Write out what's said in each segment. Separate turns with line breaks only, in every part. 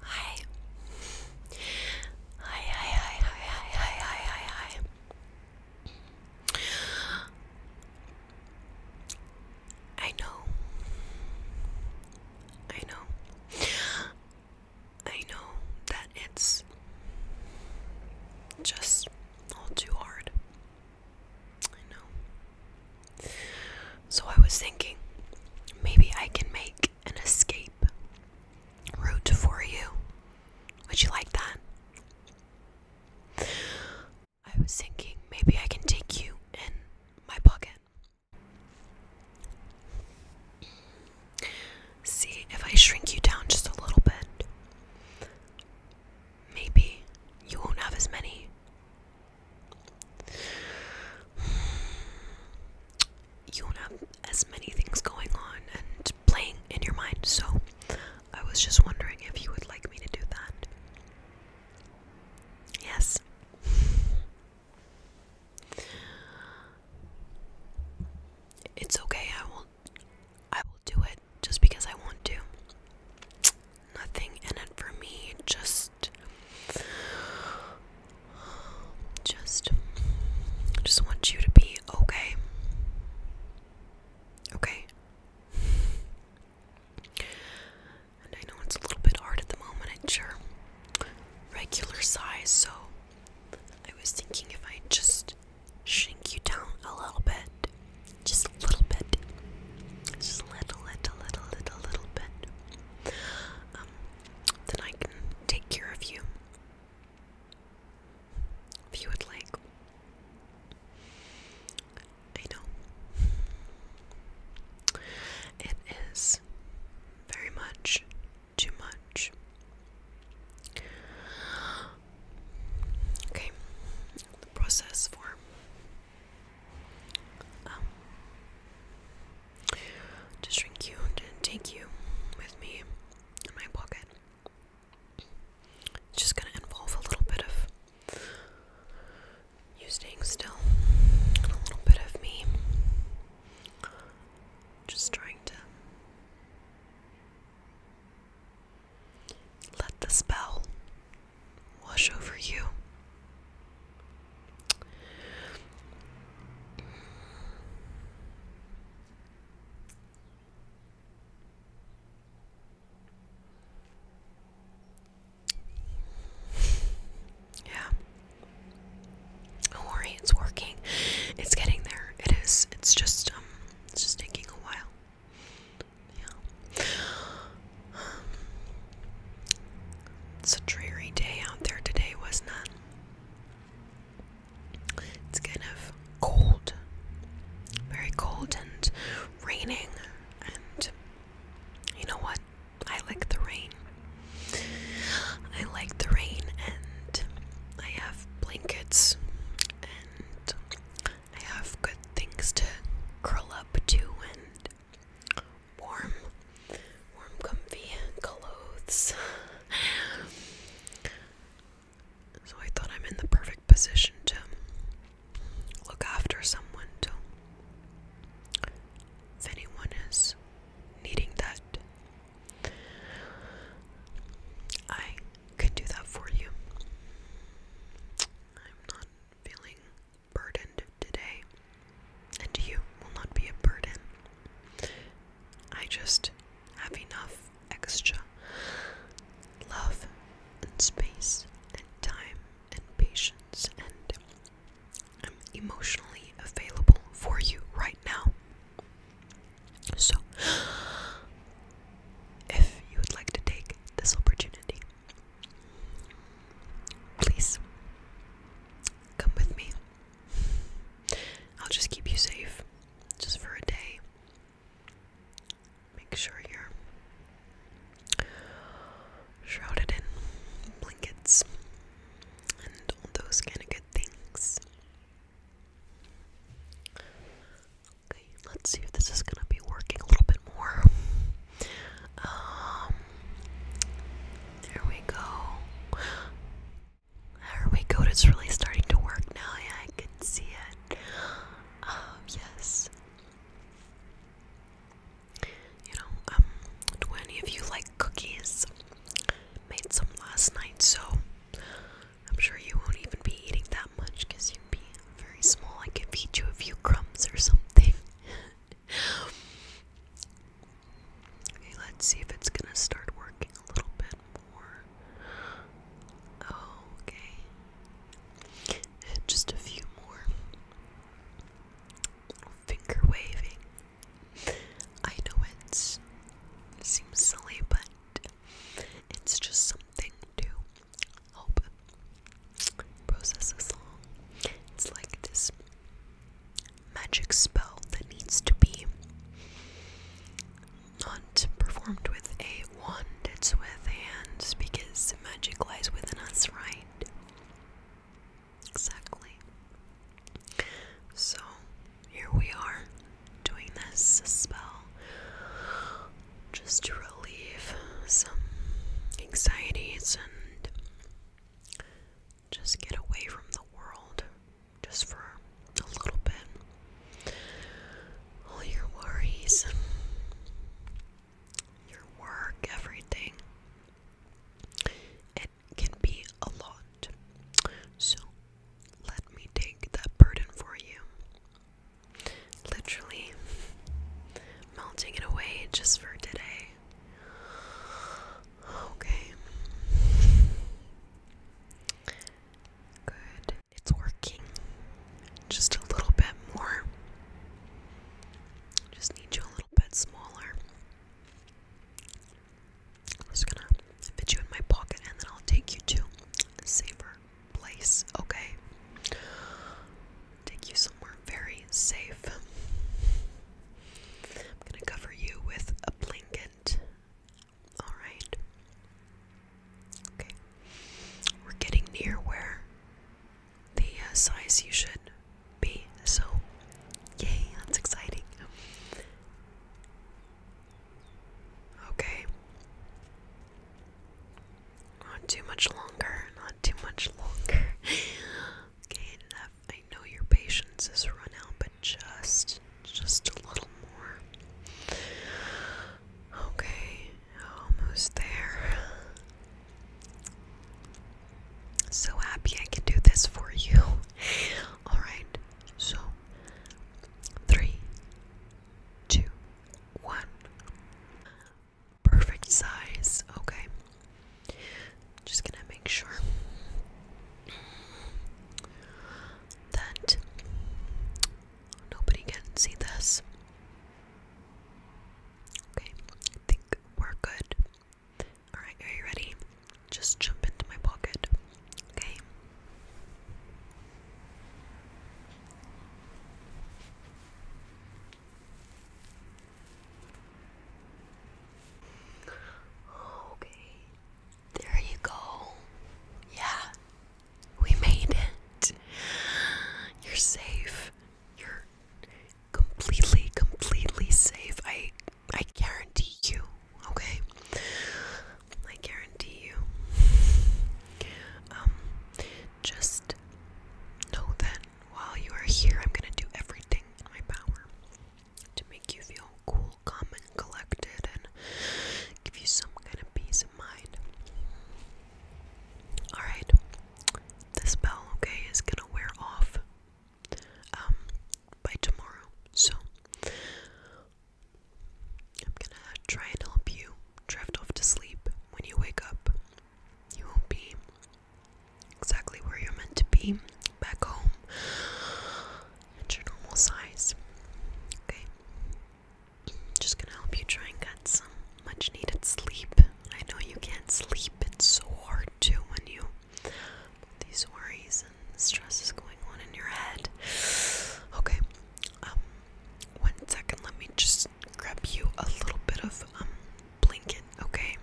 Hi. Hi, hi, hi, hi, hi, hi, hi, hi, hi. I know. I know. I know that it's just all too hard. I know. So I was thinking maybe I can make an escape route for you. Would you like that? I was thinking maybe I can take you in my pocket. See if I shrink you down just a little bit. Maybe you won't have as many you have as many things going on and playing in your mind. So, I was just wondering if you would like me to do that. Yes. It's okay. I will I will do it just because I want to. Nothing in it for me. Just just just want you to be okay. Okay. And I know it's a little bit hard at the moment, it's your regular size, so I was thinking if I just shrink you down a little bit. Just a little bit. Just a little, little, little, little, little bit. Um, then I can take care of you. If you would like. I know. It is very much too much. Okay. The process for um, to shrink you and take you with me in my pocket. It's just going to involve a little bit of you staying still, and a little bit of me just trying to let the spell wash over you. Yeah. Don't worry, it's working. It's getting there. It is. It's just um it's just taking a while. Yeah. It's a dreary day out there today, wasn't it? It's kind of cold, very cold, and raining. And you know what? I like the rain. I like the rain, and I have blankets, and I have good things to curl up to, and warm, warm, comfy clothes. so I thought I'm in the perfect position to look after someone, if anyone is needing that. I can do that for you. I'm not feeling burdened today, and you will not be a burden. I just have enough extra love and space and time and patience, and I'm emotionally available for you right now. So, if you would like to take this opportunity Please come with me. I'll just keep you safe just for a day. Make sure you're shrouded in blankets and all those kind of good things. Okay, let's see if this is going to be working a little bit more. Um, there we go. There we go. It's really starting to work now. Yeah, I can see it. Um, yes. You know, um, do any of you like cookies? Made some last night, so I'm sure you won't even be eating that much because you'd be very small. I could feed you a few crumbs or something. Okay, let's see if it's gonna start working a little bit more. okay. Just a few more. Finger waving. I know it seems silly, but it's just something to help process this long. It's like this magic spell that needs to be not performed with a wand, it's with hands because magic lies within us, right? Exactly. So here we are doing this spell just to relieve some anxieties and just get away from the world just for a little bit. All your worries, your work, everything. It can be a lot. So let me take that burden for you. Literally melting it away just for today. Okay. Good. It's working. Just a little bit more. Just need you a little bit smaller. I'm just gonna fit you in my pocket and then I'll take you to Savor place, okay? Take you somewhere very safe. I'm gonna cover you with a blanket. Alright. Okay. We're getting near where the uh, size you should be, so yay, that's exciting. Okay. Not too much longer. Not too much longer. okay, enough. I know your patience has run out, but just, just a little more. Okay, almost there. So happy I can do this for you. Alright, so three, two, one perfect size. Okay. Just gonna make sure that nobody can see this. Okay, I think we're good. Alright, are you ready? Just jump into my pocket. Okay. Okay, there you go. Yeah, we made it. You're safe. You're completely, completely safe. I, I guarantee you. Okay, I guarantee you. Um, just know that while you are here, I'm going to do everything in my power to make you feel cool, calm, and collected and give you some kind of peace of mind. Alright, the spell, okay, is going to wear off um, by tomorrow. So, I'm going to try and help you drift off to sleep when you wake up, you won't be exactly where you're meant to be back home at your normal size. Okay? Just gonna help you try and get some much needed sleep. I know you can't sleep, it's so hard too when you these worries and stress is going on in your head. Okay, um, one second, let me just grab you a little bit of um blanket, okay?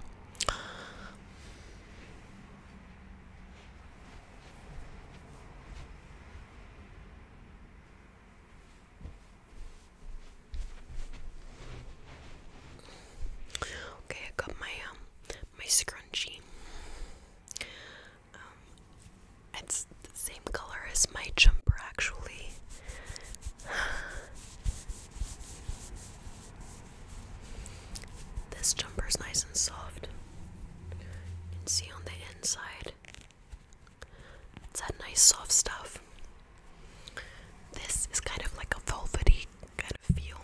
Okay, I got my um my scrunchie. Um, it's the same color as my jumper, actually. This jumper is nice and soft. You can see on the inside, it's that nice soft stuff. This is kind of like a velvety kind of feel.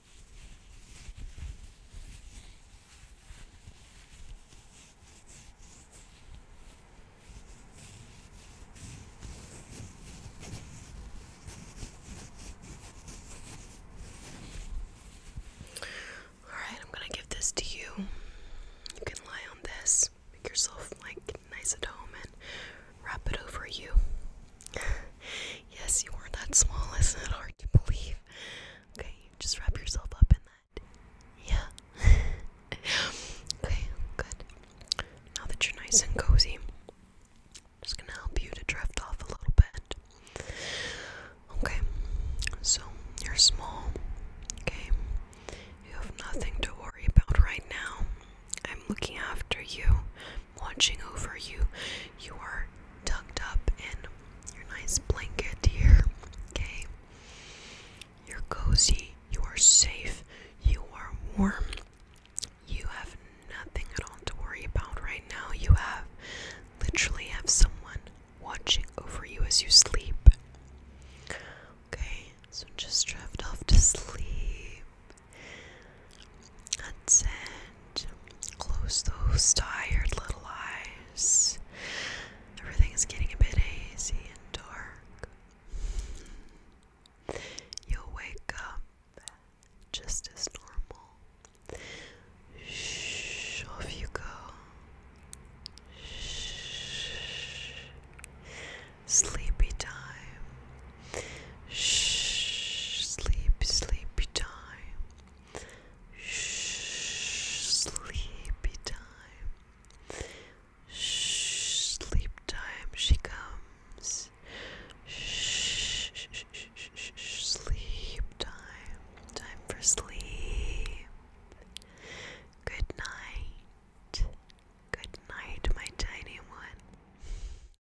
All right, I'm going to give this to you. You can lie on this, make yourself like nice at home, and wrap it over you yes, you were that small. Isn't it hard to believe? Okay, just wrap yourself up in that. Yeah. okay, good. Now that you're nice and cozy, I'm just gonna help you to drift off a little bit. Okay, so you're small. Okay, you have nothing to worry about right now. I'm looking after you watching over you. You are tucked up in your nice blanket here, okay? You're cozy, you are safe, you are warm. You have nothing at all to worry about right now. You have literally have someone watching over you as you sleep. Okay, so just drift off to sleep. That's Close those tired little eyes. Everything is getting a bit hazy and dark. You'll wake up just as normal. Shh, off you go. Shh. Sleepy time. Shh, sleepy, sleepy time. Shh, sleepy time. Shh, sleep time she comes. Shh, sleep time. Time for sleep. Good night. Good night, my tiny one.